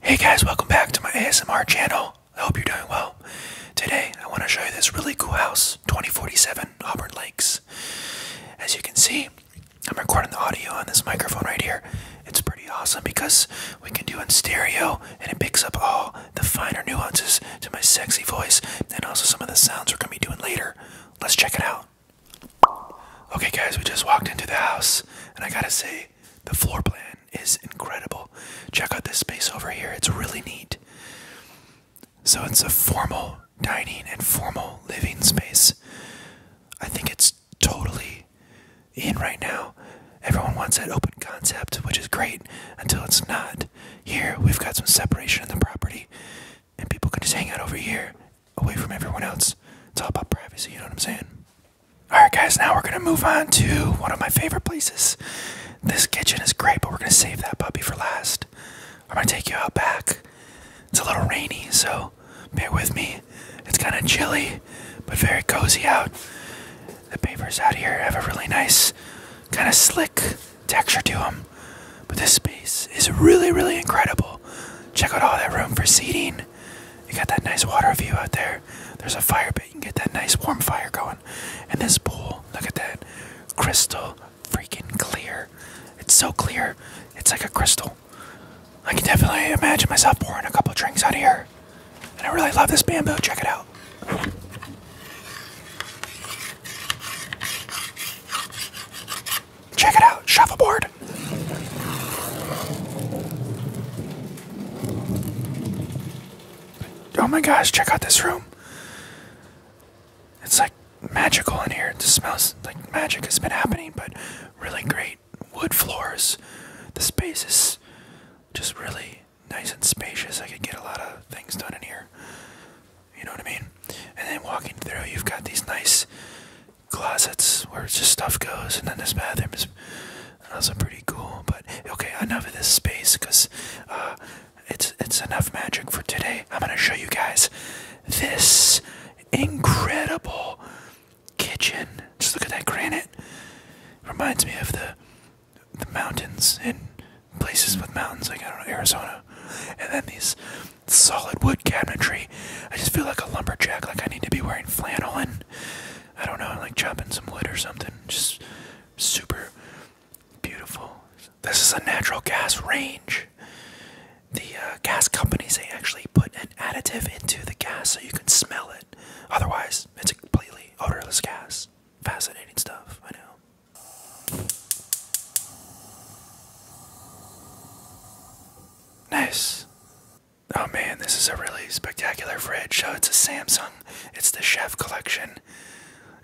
Hey guys, welcome back to my ASMR channel. I hope you're doing well. Today, I want to show you this really cool house, 2047 Auburn Lakes. As you can see, I'm recording the audio on this microphone right here. It's pretty awesome because we can do in stereo and it picks up all the finer nuances to my sexy voice and also some of the sounds we're going to be doing later. Let's check it out. Okay, guys, we just walked into the house, and I gotta say, the floor plan is incredible. Check out this space over here, it's really neat. So, it's a formal dining and formal living space. I think it's totally in right now. Everyone wants that open concept, which is great until it's not here we've got some separation in the property and people can just hang out over here away from everyone else it's all about privacy you know what i'm saying all right guys now we're gonna move on to one of my favorite places this kitchen is great but we're gonna save that puppy for last i'm gonna take you out back it's a little rainy so bear with me it's kind of chilly but very cozy out the papers out here have a really nice, kind of slick texture to them. But this space is really, really incredible. Check out all that room for seating. You got that nice water view out there. There's a fire pit. You can get that nice warm fire going. And this pool, look at that. Crystal freaking clear. It's so clear. It's like a crystal. I can definitely imagine myself pouring a couple drinks out here. And I really love this bamboo. Check it out. Check it out. Shuffleboard. Oh my gosh, check out this room. It's like magical in here. It smells like magic has been happening, but really great wood floors. The space is just really nice and spacious. I could get a lot of things done in here. You know what I mean? And then walking through, you've got these nice closets where just stuff goes, and then this bathroom is also pretty cool. But okay, enough of this space because uh, it's it's enough magic for today. I'm gonna show you guys this incredible kitchen. Just look at that granite. Reminds me of the the mountains in places with mountains, like I don't know, Arizona. And then these solid wood cabinetry. I just feel like a lumberjack, like I need to be wearing flannel and I don't know, like chopping some wood or something. Just super beautiful. This is a natural gas range. The uh, gas companies they actually put an additive into the gas so you can smell it. Otherwise, it's a completely odorless gas. Fascinating stuff, I know. Nice. Oh man, this is a really spectacular fridge. So oh, it's a Samsung. It's the Chef Collection.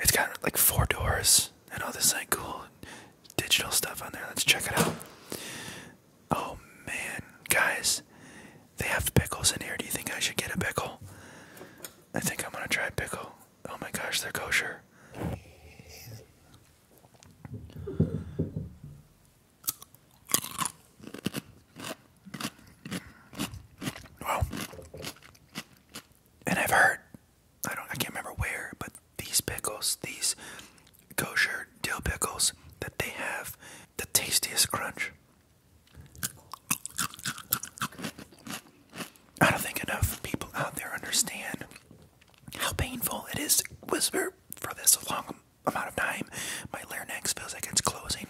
It's got like four doors and all this like cool digital stuff on there. Let's check it out. Oh man, guys, they have pickles in here. Do you think I should get a pickle? I think I'm gonna try pickle. Oh my gosh, they're kosher. Well, and I've heard, I don't, I can't remember where, but these pickles, these kosher dill pickles that they have, the tastiest crunch. I don't think enough people out there understand how painful it is to whisper for this long amount of time. My larynx feels like it's closing.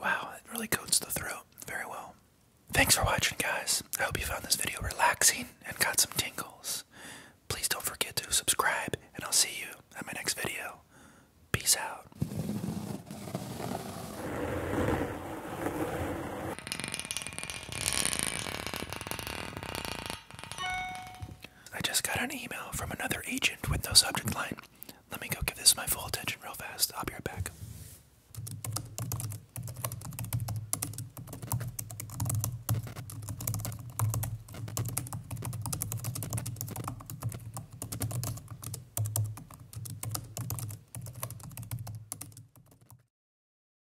Wow, it really coats the throat very well. Thanks for watching, guys. I hope you found this video relaxing and got some tingles. Please don't forget to subscribe, and I'll see you at my next video. Peace out. I just got an email from another agent with no subject line. Let me go give this my full attention real fast. I'll be right back.